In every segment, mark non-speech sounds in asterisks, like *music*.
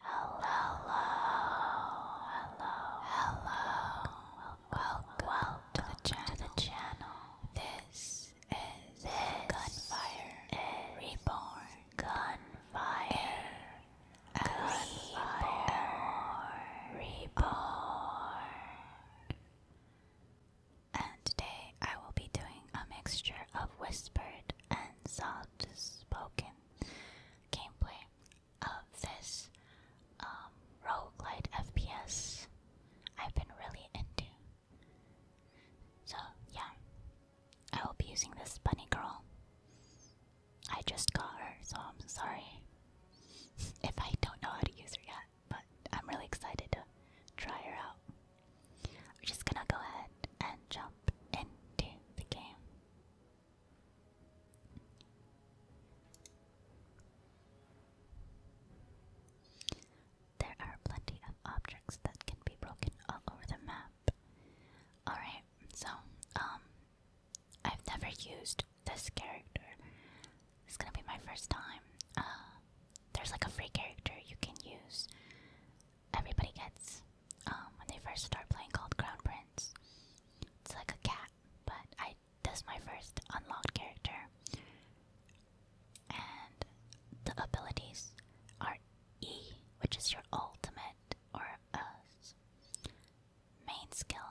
Hello, hello, hello, Welcome, to, the channel. This is Gunfire is Reborn. Gunfire Gunfire Reborn. And today I will be doing a mixture of whispered and soft spoken gameplay of this rogue um, roguelite FPS I've been really into. So, yeah, I will be using this bunny girl. I just got her, so I'm sorry *laughs* if I don't know how to use her yet, but I'm really excited to try her out. We're just gonna go ahead and jump into the game. There are plenty of objects that can be broken all over the map. Alright, so, um, I've never used this character. It's gonna be my first time. Uh, there's like a free character you can use. Everybody gets um, when they first start playing called Crown Prince. It's like a cat, but I that's my first unlocked character, and the abilities are E, which is your ultimate or uh, main skill,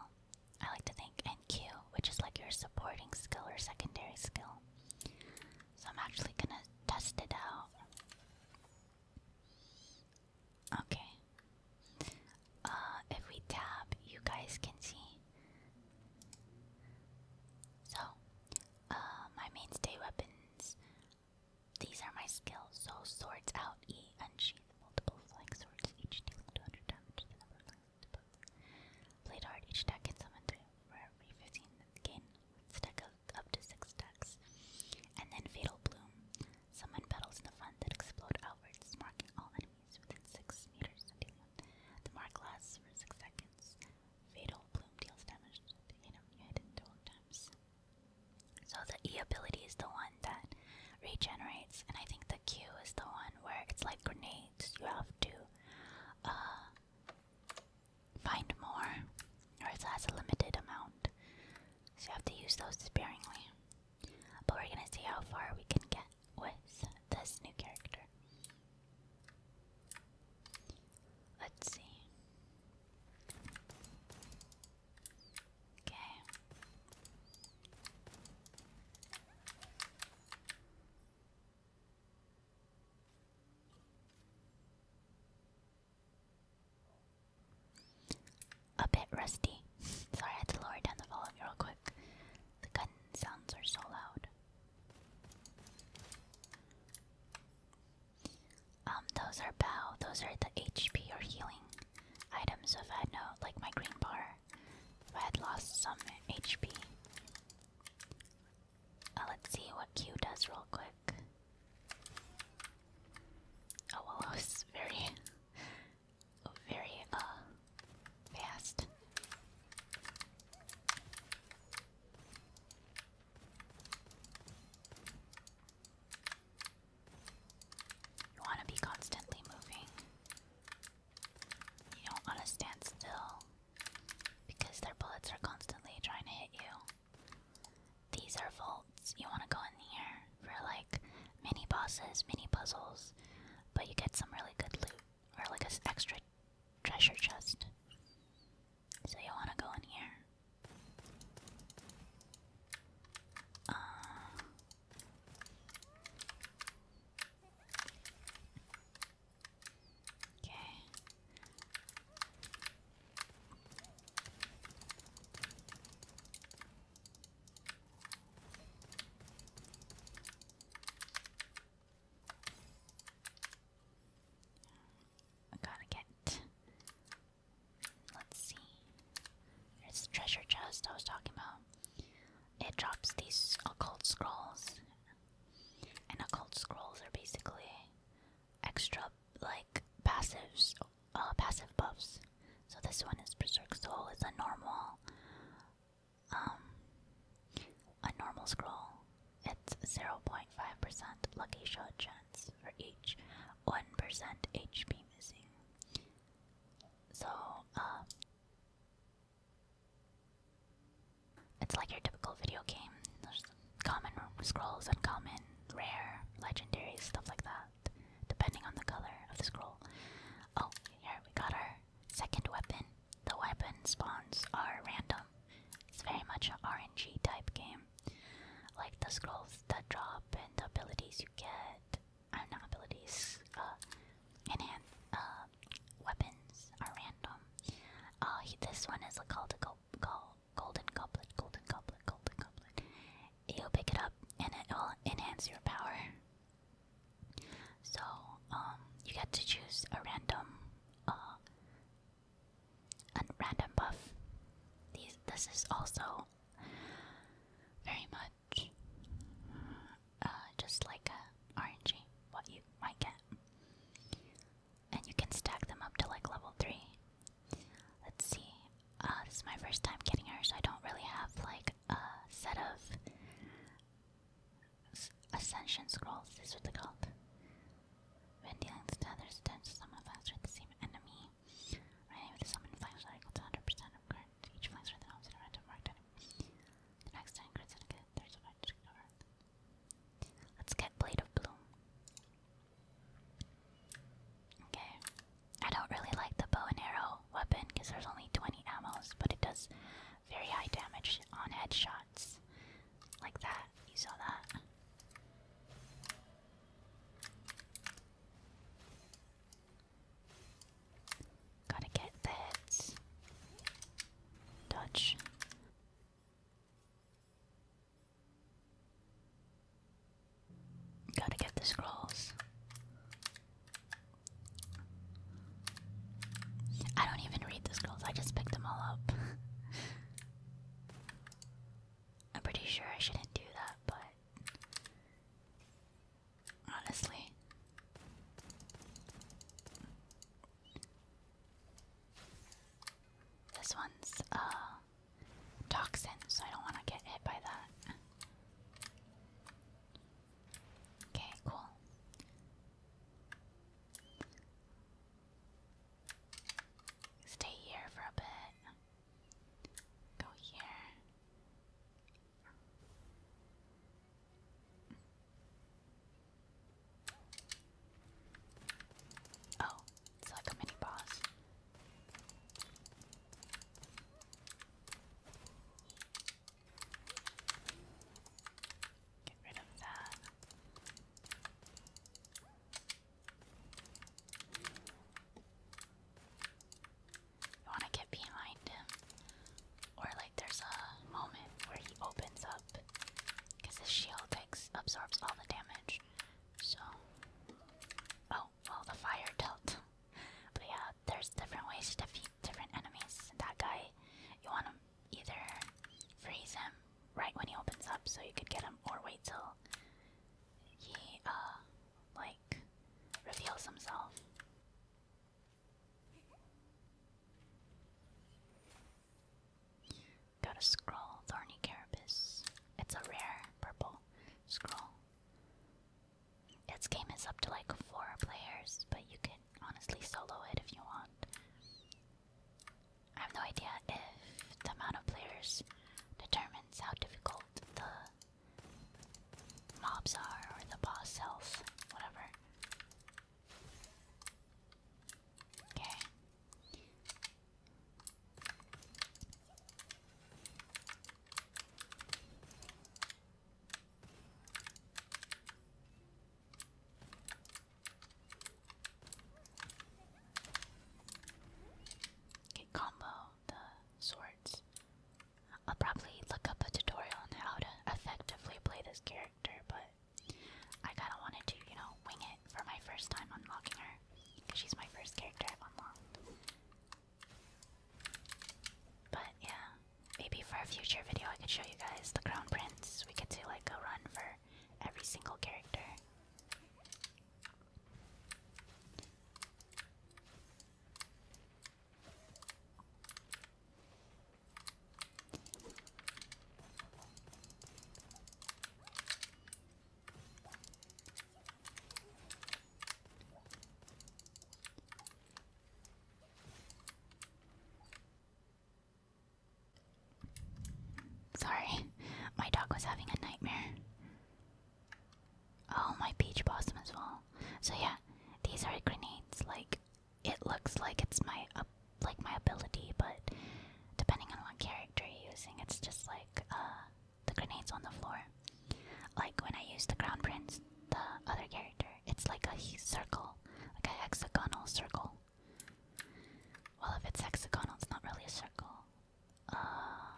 I like to think, and Q, which is like your supporting skill or secondary skill. So I'm actually gonna test it out. Okay. Uh, if we tab, you guys can see. So, uh, my mainstay weapons. These are my skills. So swords out E and Q multiple flying swords, each dealing 200 damage to the number of lands above. Played hard, each deck can summon three rare V15 gain stack up to 6 stacks. And then Fatal Bloom. Summon petals in the front that explode outwards, marking all enemies within 6 meters The mark lasts for 6 seconds. Fatal Bloom deals damage to the enemy hidden 12 times. So the E ability is the one that regenerates, and I think the Q is the one where it's like grenades. You have to uh, find more, or it has a limited amount, so you have to use those sparingly. But we're gonna see how far we can get with this new character. Let's see. Okay. A bit rusty. *laughs* Sorry, I had to lower down the volume real quick. The gun sounds are so loud. Um, those are bow. Those are the HP or healing items. So if I had no, like my green bar, I had lost some HP. Uh, let's see what Q does real quick. Oh well, that was very, very uh, fast. You want to be constantly moving. You don't want to stand still because their bullets are constantly trying to hit you. These are vaults. You want to go in here for like mini bosses, mini puzzles, but you get some really good loot or like a extra treasure chest. So you want to go in here. Uh, Okay. I gotta get. Let's see. There's the treasure chest I was talking about. It drops these occult scrolls, and occult scrolls are basically extra like passives, uh, passive buffs. So this one is Berserk Soul. It's a normal, um, a normal scroll. It's zero point five percent lucky shot chance for each one percent HP missing. So, uh, it's like your typical video game. There's common scrolls, uncommon, rare, legendary, stuff like that, depending on the color of the scroll. Oh, here we got our second weapon. The weapon spawns are random. It's very much an RNG type game. Like the scrolls that drop and the abilities you get, are uh, abilities. Uh, enhance uh, weapons are random. this one is a call to go call golden goblet, golden goblet, golden goblet. You'll pick it up and it will enhance your power. So um, you get to choose a random a random buff. These this is also very much uh, just like a what you might get. And you can stack them up to like level three. Let's see. Uh, this my first time getting her, so I don't really have like a set of ascension scrolls. This is what they're called. When dealing with others, attempt to summon faster the same enemy. Right, with the summon flash cycle to 100% of the Let's get Blade of Bloom. Okay. I don't really like the bow and arrow weapon because there's only 20 ammos, but it does very high damage on headshots. Like that. You saw that. Gotta get that dodge. Gotta get the scrolls. I don't even read the scrolls, I just picked them all up. *laughs* I'm pretty sure I shouldn't do that, but Honestly. This one's uh toxin, so I don't want to get hit by that. Okay, cool. Stay here for a bit. Go here. Oh, it's like a mini boss. Get rid of that. You want to get behind him, or like there's a moment where he opens up because his shield absorbs all the damage. So, oh well, the fire dealt. *laughs* but yeah, there's different ways to defeat different enemies. That guy, you want to either freeze him right when he opens up, so you could get him, or wait till he uh like reveals himself. Got a scroll, Thorny Carapace. It's a rare purple scroll. Its game is up to like four players, but you can honestly solo it if you want. I have no idea if the amount of players determines how difficult the mobs are, or the boss health, whatever. Okay. Okay, combo the swords. I'll probably look up a tutorial on how to effectively play this character, but I kinda wanted to, you know, wing it for my first time unlocking her. Because she's my first character I've unlocked. But yeah, maybe for a future video I could show you guys the Crown Prince. We could do like a run for every single character. Sorry, my dog was having a nightmare. Oh, my peach blossom as well. So yeah, these are grenades. Like it looks like it's my like my ability, but depending on what character you're using, it's just like uh, the grenades on the floor. Like when I use the crown prince, the other character, it's like a circle, like a hexagonal circle. Well, if it's hexagonal, it's not really a circle. Uh,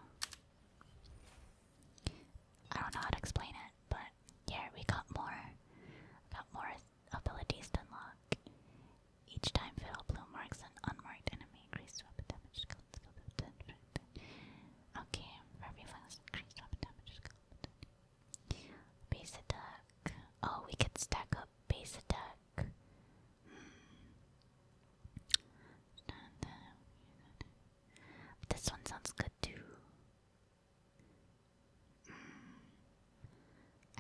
I don't know how to explain it, but yeah, we got more, got more abilities to unlock. Each time Fiddle Bloom marks an unmarked enemy, increased weapon damage. Okay, every flux, increased weapon damage. Base attack. Oh, we could stack up base attack. Hmm. This one sounds good. Mm.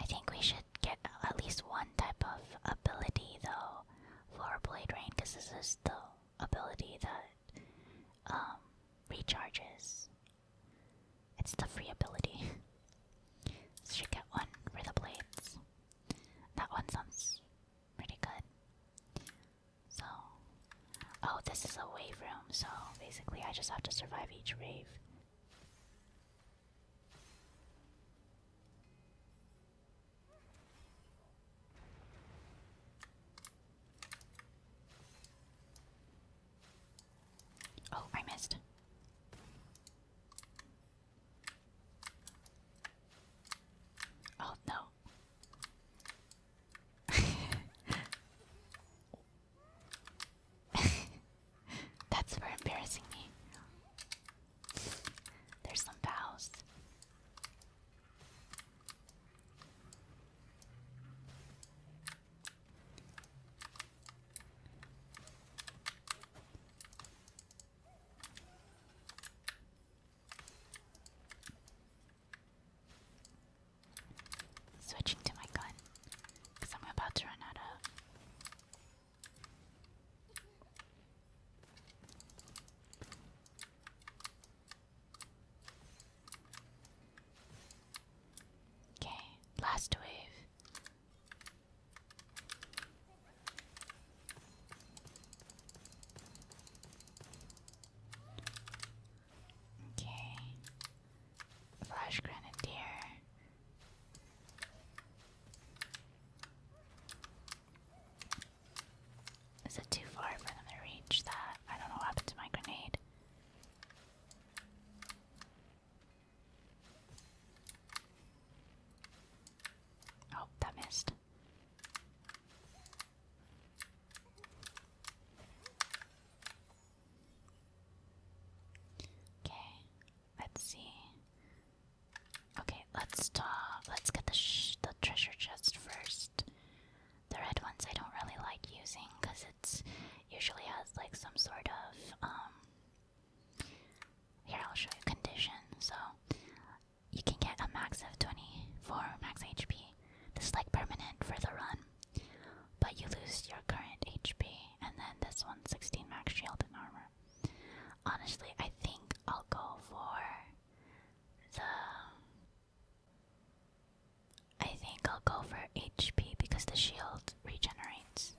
I think we should get at least one type of ability though for Blade Rain, because this is the ability that um, recharges. It's the free ability. *laughs* should get one for the blades. That one sounds pretty good. So, oh, this is a wave room. So basically, I just have to survive each wave. Oh, I missed. Oh no, *laughs* That's for embarrassing me. There's some bows. Switching to my gun, because I'm about to run out of. Okay, last wave. Okay. Flash Grenadier. Is it too far for them to reach that? I don't know what happened to my grenade. Oh, that missed. Okay, let's see. Okay, let's talk. Let's get the the treasure chest first. The red ones I don't really like using because it's usually has like some sort of um. Here I'll show you condition. So you can get a max of twenty four max HP, this like permanent for the run. But you lose your current HP, and then this one, 16 max shield and armor. Honestly, I think I'll go for the. I think I'll go for HP because the shield regenerates.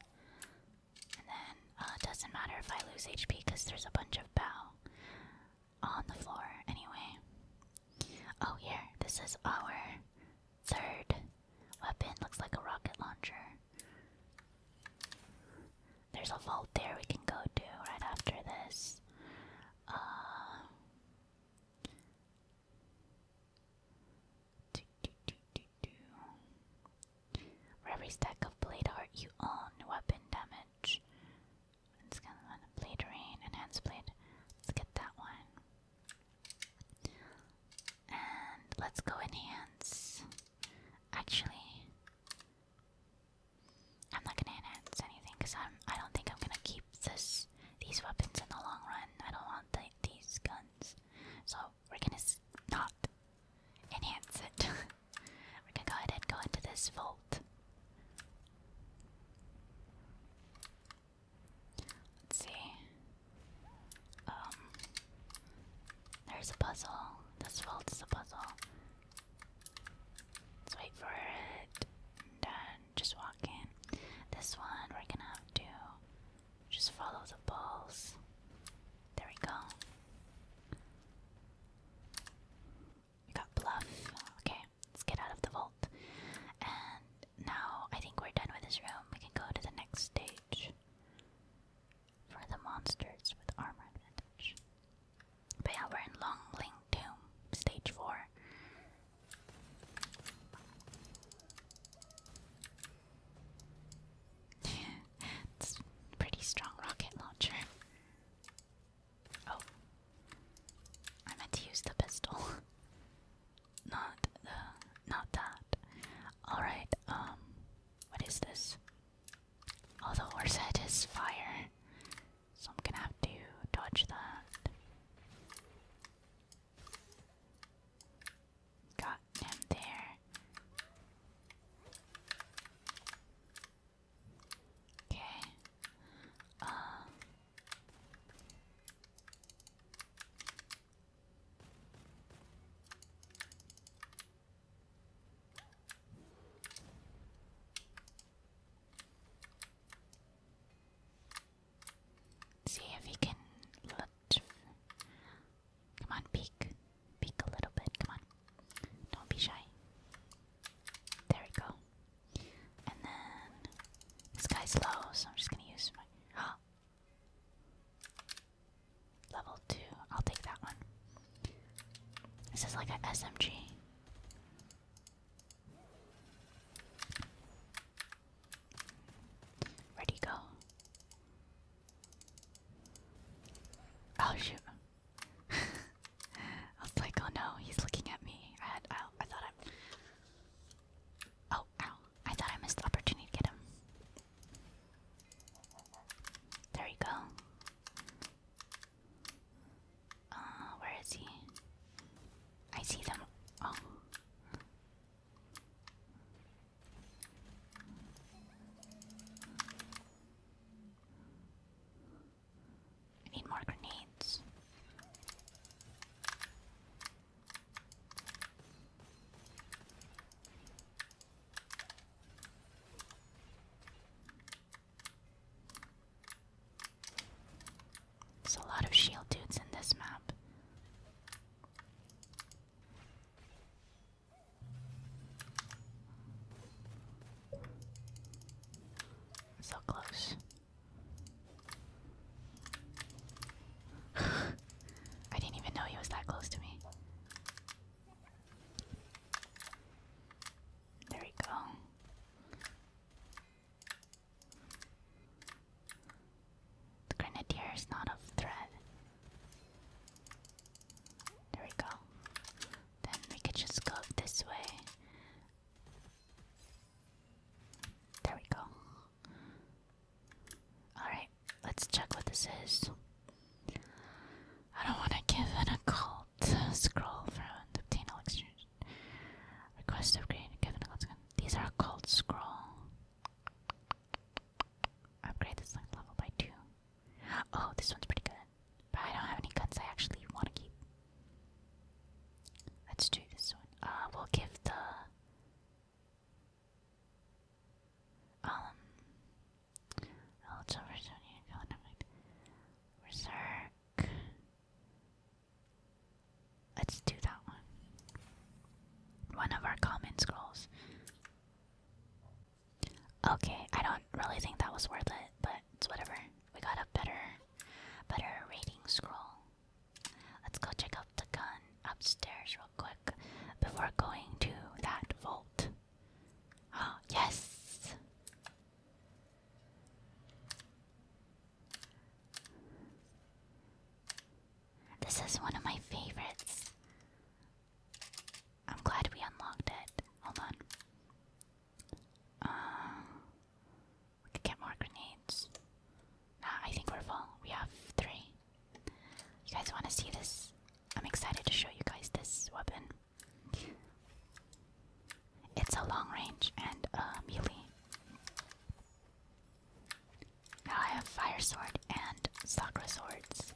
And then uh, it doesn't matter if I lose HP because there's a bunch of bow on the floor anyway. Oh, here, this is our third weapon. Looks like a rocket launcher. There's a vault there we can go to right after this. Uh, every stack of blade art you own, weapon damage it's gonna run blade rain, enhanced blade. Let's get that one. And let's go enhance. Actually, I'm not gonna enhance anything because I'm I don't think I'm gonna keep this these weapons in the long run. I don't want the, these guns. So we're gonna s not enhance it. *laughs* we're gonna go ahead and go into this full Let's see. Um, there's a puzzle. This vault is a puzzle. Let's wait for it. And just walk in. This one we're gonna have to just follow the balls. There we go. We got bluff. Okay let's get out of the vault. And now I think we're done with this room. We can go to the next stage for the monsters with armor advantage. But yeah, we're in Longling Tomb, stage 4. *laughs* it's pretty strong rocket launcher. Oh. I meant to use the pistol. *laughs* not the not that. Alright, um what is this? Oh the horse head is fire. So I'm gonna have to dodge that. Got him there. Okay. Um. See if he can look. Come on, peek. Peek a little bit. Come on. Don't be shy. There we go. And then this guy's low, so I'm just gonna use my level two. I'll take that one. This is like an SMG. Ready go. Oh shoot. *laughs* I was like, oh no, he's looking at me. I had, I, I thought I. Oh, I thought I missed the opportunity to get him. There he go. Uh, where is he? I see them. Oh. I need more grenades. There's a lot of shield dudes in this map. So close. *sighs* I didn't even know he was that close to me. There we go. The grenadier is not of threat. There we go. Then we could just go this way. There we go. Alright, let's check what this is. I don't want to give an occult scroll for an obtainable exchange. Request upgrade, give an occult scroll. These are occult scroll. Upgrade this level by two. Oh, this one's pretty good. But I don't have any guns I actually want to keep. Let's do this one. Uh, we'll give the um. Oh, it's over Berserk. Let's do that one. One of our common scrolls. Okay, I don't really think that was worth it, but it's whatever. We got a better but her scroll. Let's go check out the gun upstairs real quick before going to that vault. Oh, yes! This is one of my favorites. I'm glad we unlocked it. Hold on. Uh, we could get more grenades. I think we're full. We have three. You guys want to see this? I'm excited to show you guys this weapon. It's a long range and a uh, melee. Now I have fire sword and sakura swords.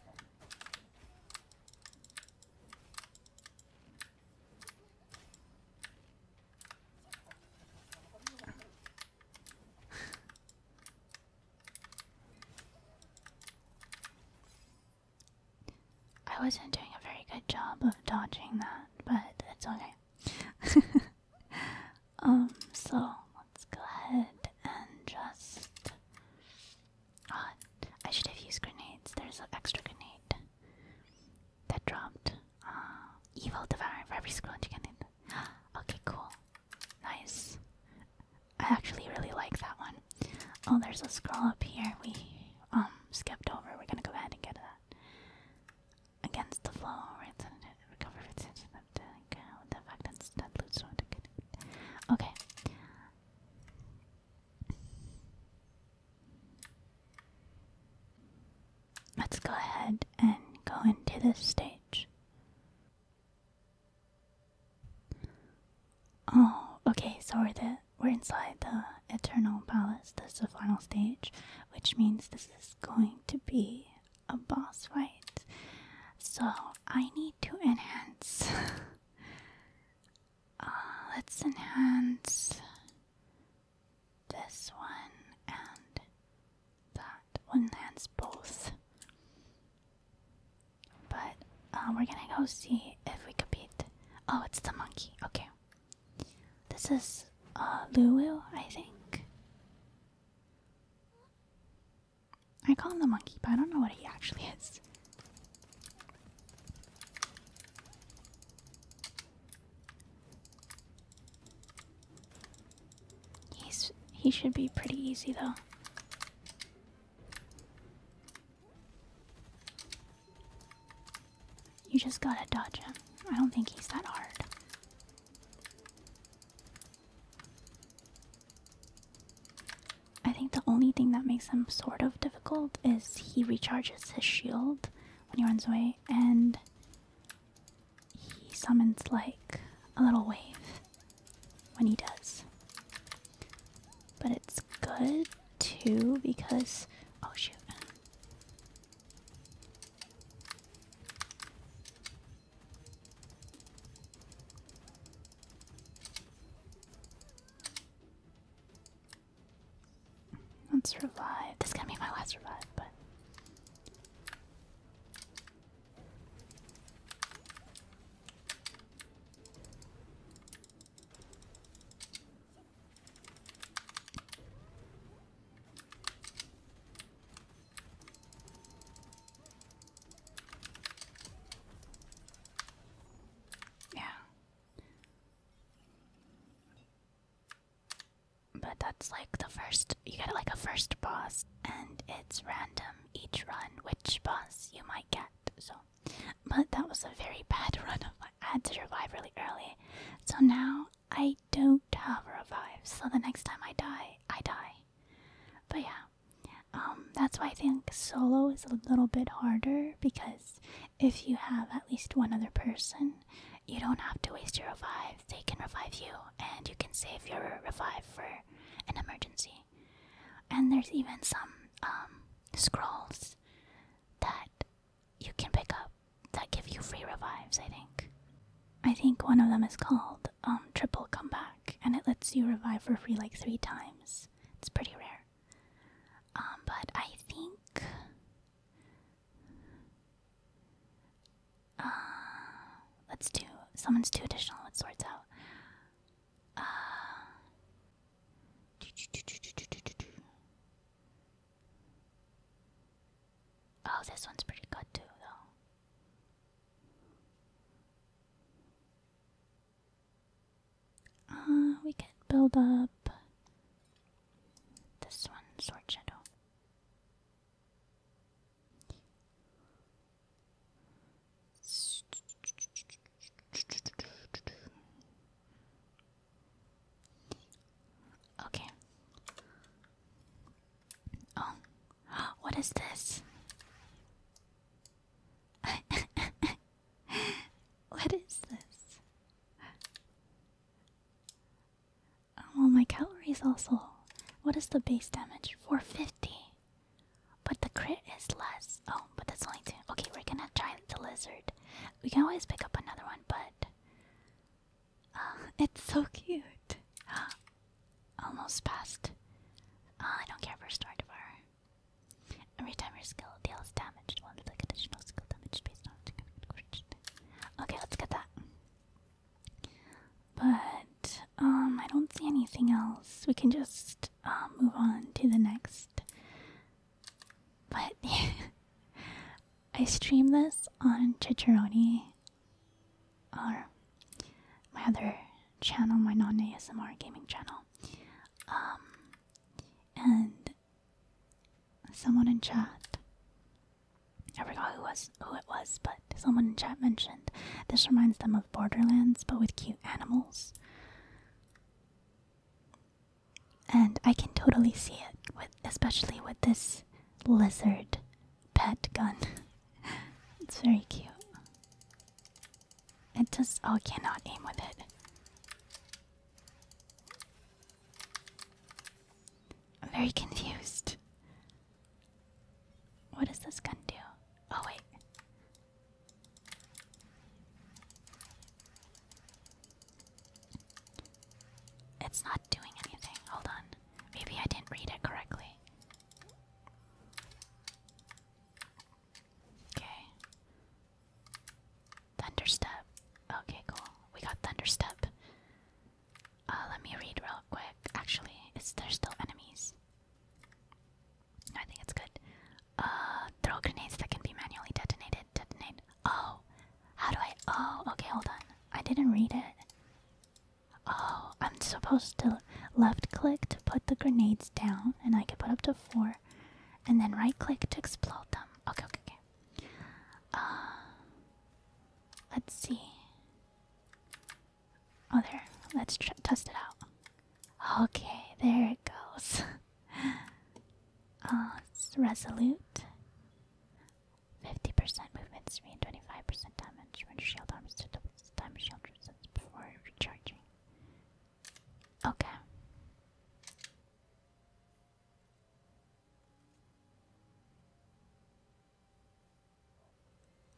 I wasn't doing a very good job of dodging that, but it's okay. *laughs* um, so let's go ahead and just. Oh, I should have used grenades. There's an extra grenade that dropped. Uh, evil devouring for every squirrel chicken it. okay, cool. Nice. I actually really like that one. Oh, there's a scroll up here. We um skipped over. We're gonna go ahead and get that. Against the flow, right? Recover attention the fact that that loots Okay. Let's go ahead and go into this stage. Oh, okay, Sorry that we're inside the Eternal Palace. This is the final stage, which means this is going to be a boss fight. So I need to enhance. *laughs* Uh, let's enhance this one and that one lands both. But uh, we're gonna go see if we could beat. Oh, it's the monkey. Okay. This is uh, Lulu, I think. I call him the monkey, but I don't know what he actually is. He's he should be pretty easy though. You just gotta dodge him. I don't think he's that hard. I think the only thing that makes him sort of difficult is he recharges his shield when he runs away, and he summons like a little wave when he does. But it's good too because oh shoot. Let's revive. This is gonna be my last revive, but yeah. But that's like the first, you get like a first boss, and it's random each run which boss you might get. So, but that was a very bad *laughs* run of mine. I had to revive really early. So now I don't have revive. So the next time I die, I die. But yeah, um, that's why I think solo is a little bit harder because if you have at least one other person, you don't have to waste your revives. They can revive you, and you can save your revive for an emergency. And there's even some um, scrolls that you can pick up that give you free revives, I think. I think one of them is called um, Triple Comeback, and it lets you revive for free like three times. It's pretty rare. Um, but I think uh, let's do someone's too additional with sorts out. Uh, oh, this one's pretty good too, uh, we can build up this one, Sword Shadow. Okay. Oh, what is this? *laughs* what is this? Oh, well, my calories also. What is the base damage? 450. But the crit is less. Oh, but that's only two. Okay, we're gonna try the lizard. We can always pick up another one, but. Uh, *laughs* it's so cute. *gasps* Almost passed. Uh, I don't care for Star Devourer. Every time your skill deals damage, one the additional skill damage based on the Okay, let's get that. But um, I don't see anything else. We can just um, move on to the next. But *laughs* I stream this on Chicharoni, or my other channel, my non ASMR gaming channel. Um, and someone in chat. I forgot who was who it was, but someone in chat mentioned this reminds them of Borderlands, but with cute animals. And I can totally see it, especially with this lizard pet gun. *laughs* it's very cute. It just all oh, cannot aim with it. I'm very confused. What does this gun do? Oh, wait. It's not doing anything. Hold on. Maybe I didn't read it correctly. Okay. Thunderstep. Okay, cool. We got Thunderstep. Uh, let me read real quick. Actually, is there still enemies? I think it's good. Uh, throw grenades that can be manually detonated. Detonate. Oh, how do I? Oh, okay, hold on. I didn't read it. Oh, I'm supposed to left click to put the grenades down, and I can put up to four, and then right click to explode them. Okay, okay, okay. Uh, let's see. Oh, there. Let's test it out. Okay, there it goes. it's *laughs* uh, resolute. 50% movement speed, and 25% damage when shield arms to double damage shield resistance before recharging. Okay.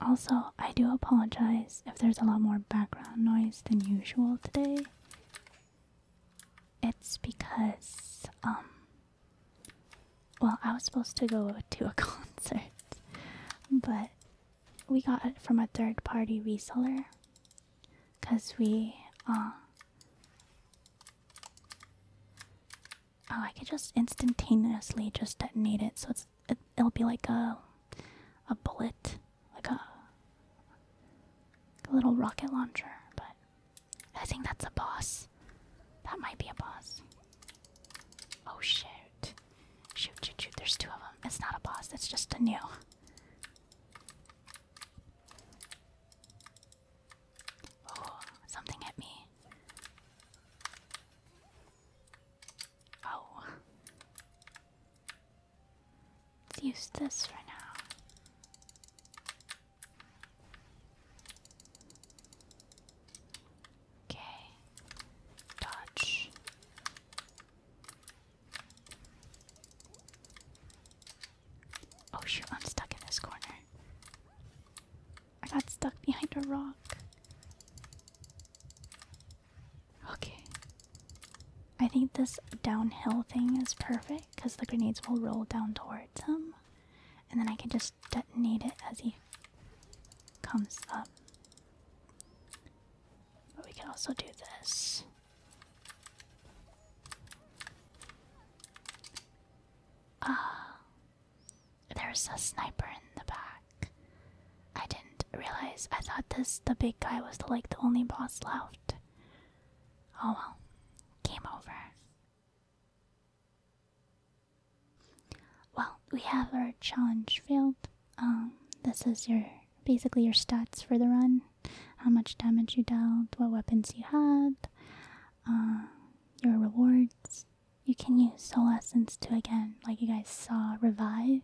Also, I do apologize if there's a lot more background noise than usual today. It's because, um, well, I was supposed to go to a *laughs* concert, but we got it from a third party reseller because we, uh, Oh, I could just instantaneously just detonate it, so it's it, will be like a a bullet, like a little rocket launcher. But I think that's a boss. That might be a boss. Oh shoot! Shoot! Shoot! Shoot! There's two of them. It's not a boss. It's just a new. Oh, something hit me. Oh. use this for now. Okay. Dodge. Oh shoot, I'm stuck in this corner. I got stuck behind a rock. Okay. I think this downhill thing is perfect because the grenades will roll down towards him. And then I can just detonate it as he comes up. But we can also do this. Ah, there's a sniper in the back. I didn't realize. I thought this the big guy was the, like the only boss left. Oh well, game over. Well, we have our challenge field. Um, this is your basically your stats for the run how much damage you dealt, what weapons you had, uh, your rewards. You can use soul essence to again, like you guys saw, revive,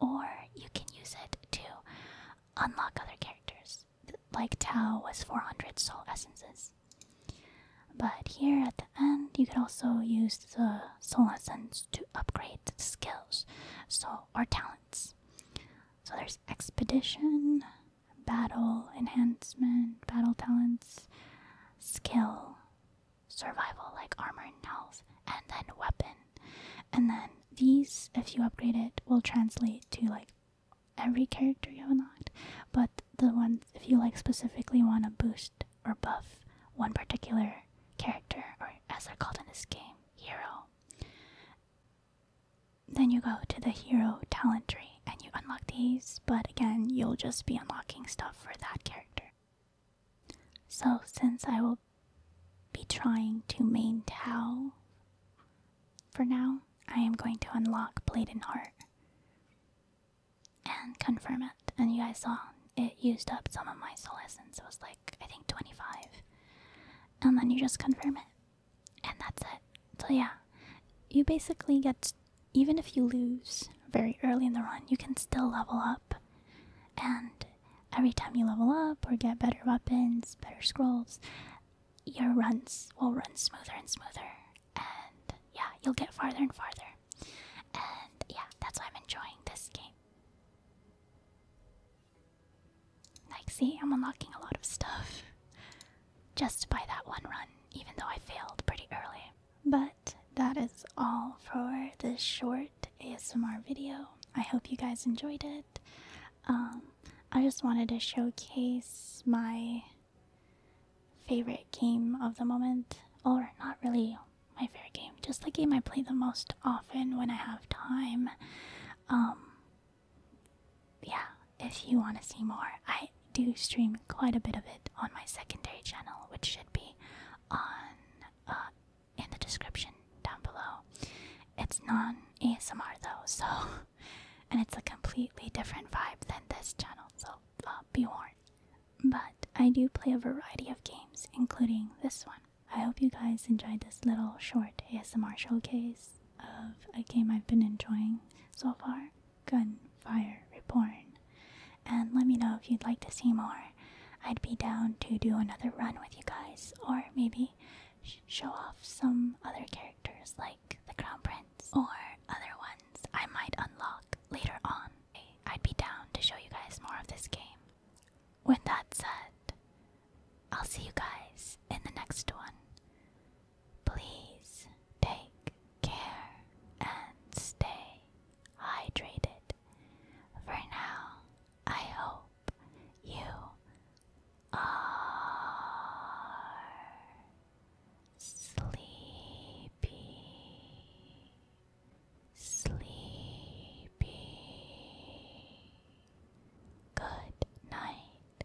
or you can use it to unlock other characters. Like Tao was 400 soul essences. But here at the end, you can also use the soul essence to upgrade skills, so or talents. So there's expedition, battle enhancement, battle talents, skill, survival like armor and health, and then weapon. And then these, if you upgrade it, will translate to like every character you have unlocked. But the ones, if you like specifically want to boost or buff one particular character, or as they're called in this game, hero, then you go to the hero talent tree and you unlock these, but again, you'll just be unlocking stuff for that character. So, since I will be trying to main Tao for now, I am going to unlock Blade and Heart and confirm it. And you guys saw it used up some of my soul essence, it was like I think 25. And then you just confirm it and that's it. So yeah, you basically get even if you lose very early in the run, you can still level up, and every time you level up or get better weapons, better scrolls, your runs will run smoother and smoother, and yeah, you'll get farther and farther. And yeah, that's why I'm enjoying this game. Like, see, I'm unlocking a lot of stuff just by that one run, even though I failed pretty early. But that is all for this short ASMR video. I hope you guys enjoyed it. Um, I just wanted to showcase my favorite game of the moment, or not really my favorite game, just the game I play the most often when I have time. Um, yeah, if you want to see more, I do stream quite a bit of it on my secondary channel, which should be on uh, in the description down below. It's non ASMR though, so *laughs* and it's a completely different vibe than this channel, so uh, be warned. But I do play a variety of games, including this one. I hope you guys enjoyed this little short ASMR showcase of a game I've been enjoying so far, Gunfire Reborn. And let me know if you'd like to see more. I'd be down to do another run with you guys, or maybe show off some other characters like the Crown Prince or other ones I might unlock later on. I'd be down to show you guys more of this game. With that said, I'll see you guys in the next one. Please take care and stay hydrated. For now, I hope you are sleepy, sleepy. Good night.